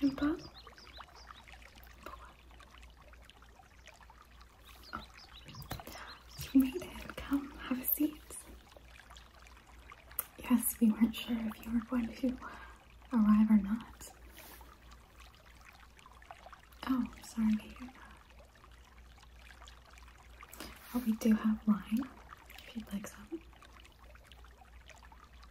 Simple. Oh, you made it. Come, have a seat. Yes, we weren't sure if you were going to arrive or not. Oh, sorry to hear that. Oh, we do have wine, if you'd like some.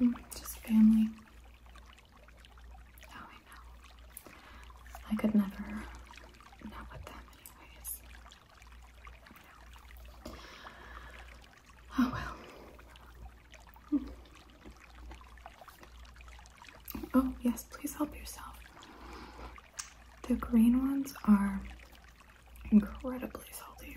Mm, just family. Oh, I know. I could never. Not with them, anyways. Oh well. Oh, yes, please help yourself. The green ones are incredibly salty.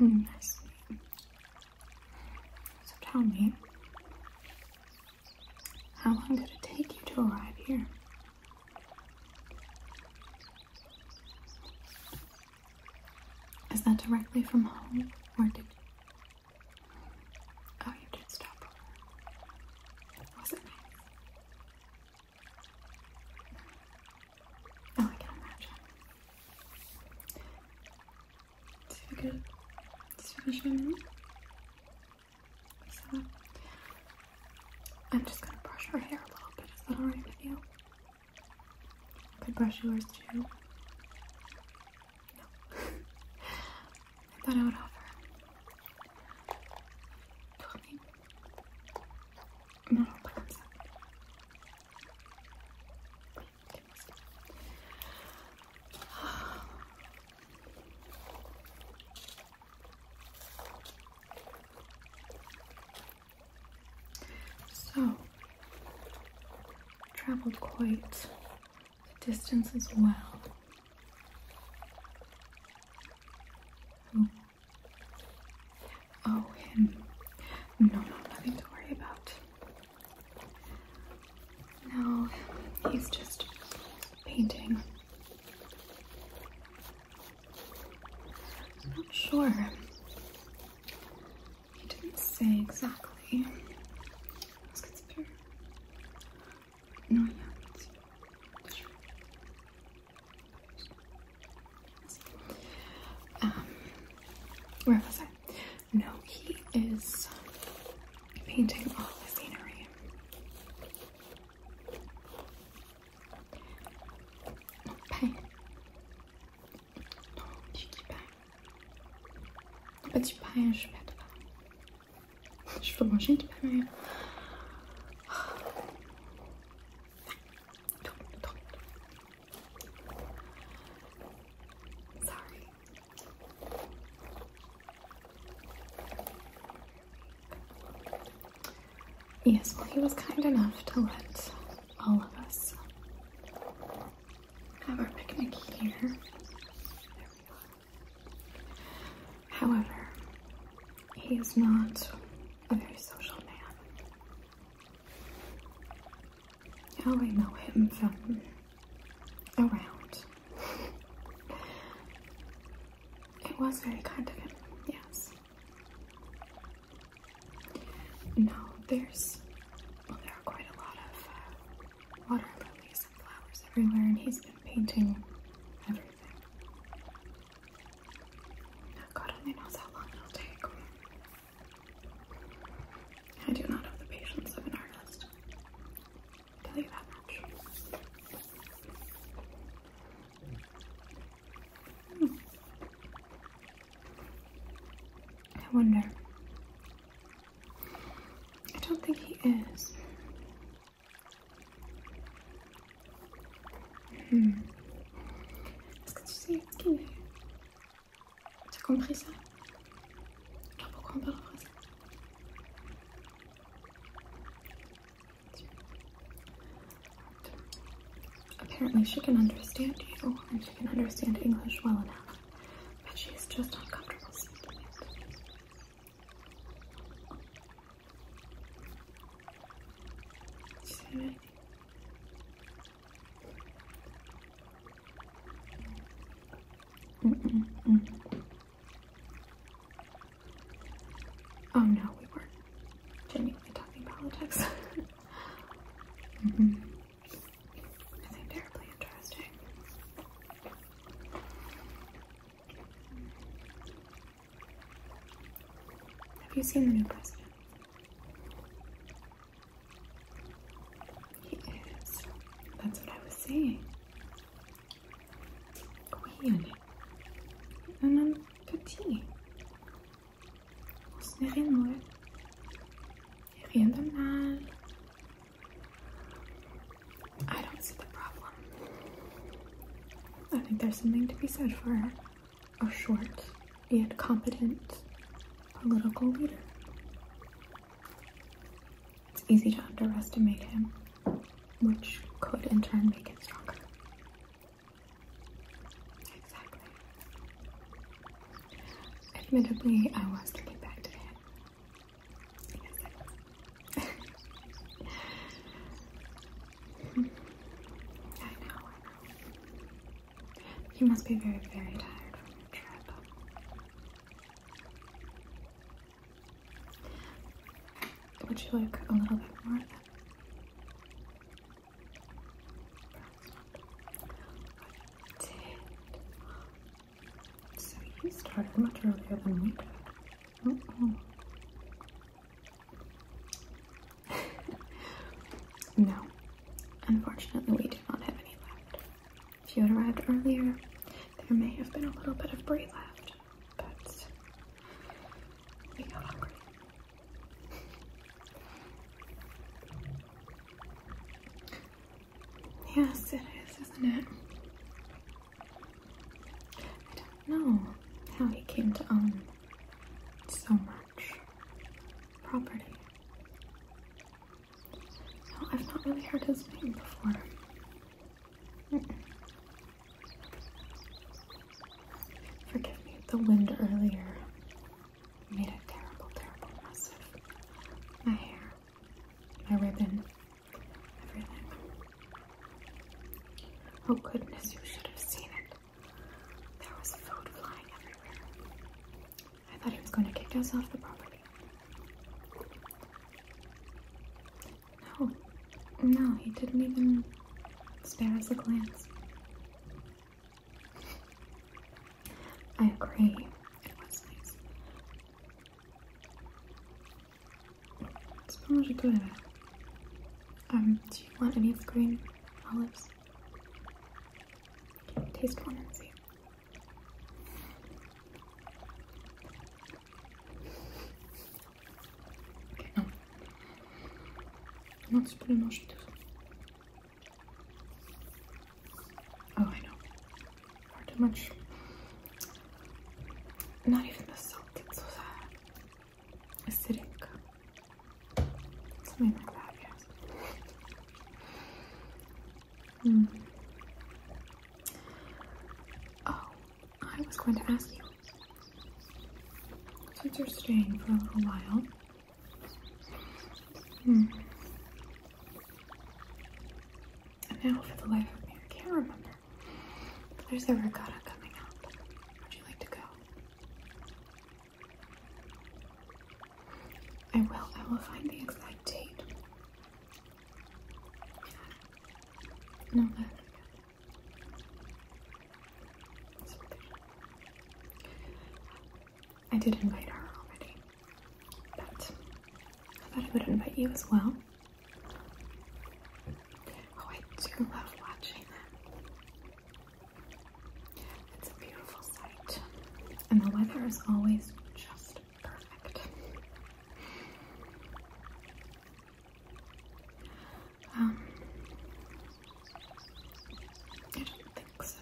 Mm, so tell me, how long did it take you to arrive here? Is that directly from home, or did? Oh, you did stop Was it nice? Oh, I can imagine. Tu fais que tu fais I'm just gonna brush her hair a little bit. Is that alright with you? I could brush yours too. No. I thought I would offer. Tell me. No, I'm sorry. So, traveled quite the distance as well. Oh, oh, him. No, no, nothing to worry about. No, he's just painting. I'm not sure. He didn't say exactly. Let's consider. No, yeah. Um, where was I? No, he is painting all the scenery. Pain. Non, je pain. En fait, pain, je suis pas de Je pain. Yes, well, he was kind enough to let all of us have our picnic here. However, he is not a very social man. Oh, I know him from around. it was very kind of him, yes. No, there's, well, there are quite a lot of uh, water lilies and flowers everywhere, and he's been painting everything. God only knows how long it'll take. I do not have the patience of an artist. tell you that much. Hmm. I wonder. I don't think he is. Hmm. It's good to see Apparently she can understand you and she can understand English well enough, but she is just uncomfortable speaking it. Mm -mm -mm. Oh no, we weren't genuinely talking politics. mm -hmm. Nothing terribly interesting. Have you seen the new president? He is. That's what I was saying. Queen. And I'm petit. Ce n'est rien de mal. I don't see the problem. I think there's something to be said for her a short and competent political leader. It's easy to underestimate him, which could in turn make him stronger. Exactly. Admittedly, I was thinking back to him. I know. You must be very, very tired from your trip. Would you like a little bit more of that? Did. So you started much earlier than me. did. no, unfortunately, we do not have any left. If you had arrived earlier, there may have been a little bit of brie left, but we got hungry. Yes, it is, isn't it? I don't know how he came to own so much property. No, I've not really heard his name before. Forgive me, the wind earlier made a terrible, terrible mess of my hair, my ribbon, everything. Oh goodness, you should have seen it. There was food flying everywhere. I thought he was going to kick us off the property. No, no, he didn't even spare us a glance. I agree, it was nice. It's pretty good. Eh? Um, do you want any of the green olives? Taste one and see. Non. Non, tu peux le manger Oh, I know. Far too much. Not even the salt, it's so sad acidic. Something like that, yes. Mm. Oh, I was going to ask you. Since you're staying for a little while, hmm. and now for the life of me, I can't remember. There's a ricotta coming up. Would you like to go? I will, I will find the exact date. No, I forget. I did invite her already, but I thought I would invite you as well. Oh, I do love watching it's a beautiful sight, and the weather is always just perfect. Um, I don't think so.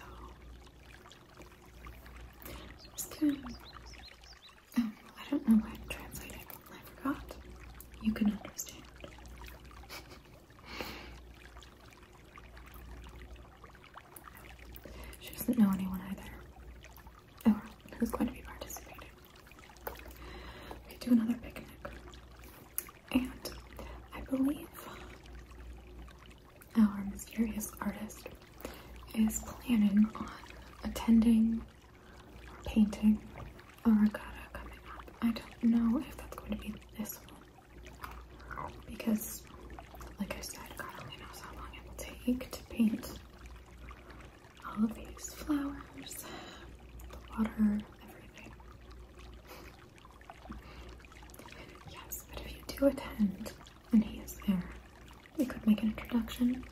Just gonna, um, I don't know why I'm translating. I forgot. You can understand. She doesn't know anyone either. Oh, who's going to be participating? We could do another picnic. And I believe our mysterious artist is planning on attending painting a regatta coming up. I don't know if that's going to be this one because like I said, God only knows how long it will take to paint all of these flowers, the water, everything. Yes, but if you do attend and he is there, we could make an introduction,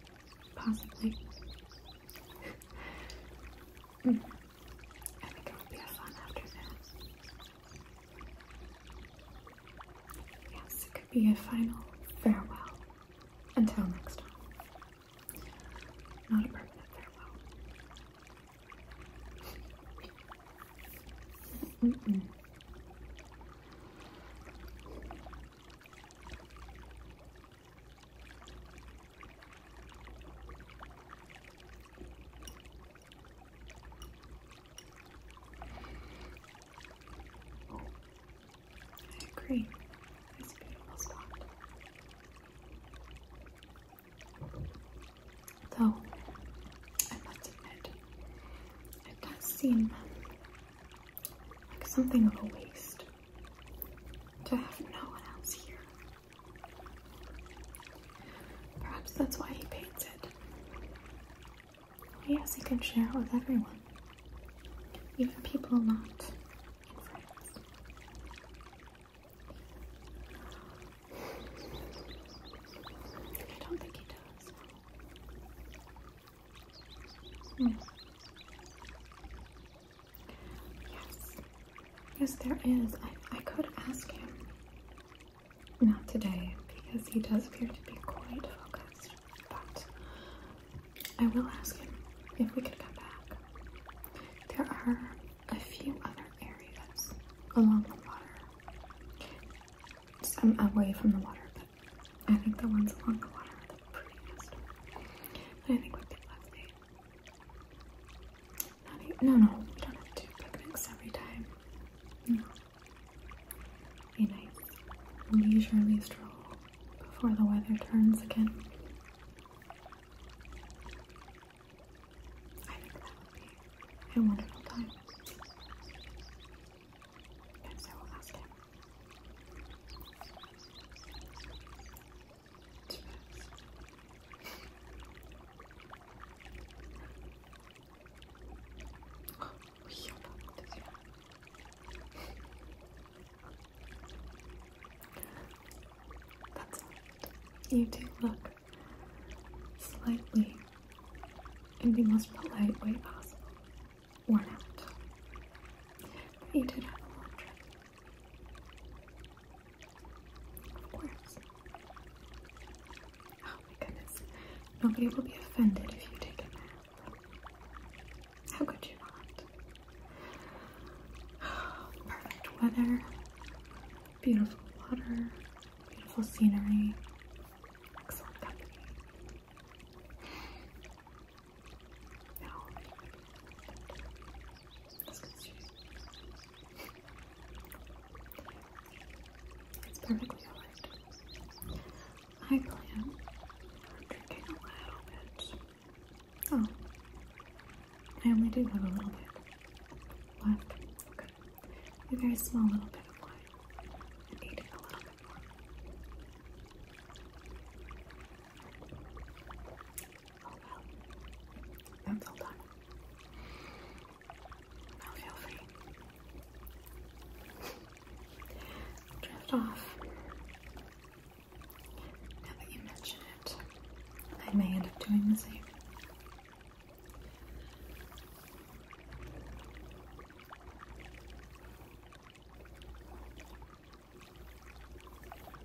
possibly. Hmm. I think it will be a fun afternoon. Yes, it could be a final farewell. Until next time. Not a permanent farewell. I agree. That's a beautiful spot. Though, I must admit, it does seem like something of a waste to have no one else here. Perhaps that's why he paints it. Yes, he can share it with everyone, even people not in France. I don't think he does. No. Hmm. Yes. Yes, there is. I, could ask him. Not today, because he does appear to be quite focused, but I will ask him if we could come back. There are a few other areas along the water. Some away from the water, but I think the ones along the water are the prettiest. I think would be lovely no, no, we don't have to do picnics every time. No. A nice leisurely stroll before the weather turns again. I think that would be a wonderful time. And so will ask him. You do look slightly in the most polite way possible. Worn out. But you did have a long trip. Orbs. Oh my goodness. Nobody will be offended if you take a nap. How could you not? Perfect weather, beautiful water, beautiful scenery, excellent company. No. Let's it's perfectly alright. I plan on drinking a little bit. Oh, I only do have a little bit left. Okay, you guys smell a little bit of wine and eat it a little bit more. Until then, now feel free. Drift off. Now that you mention it, I may end up doing the same.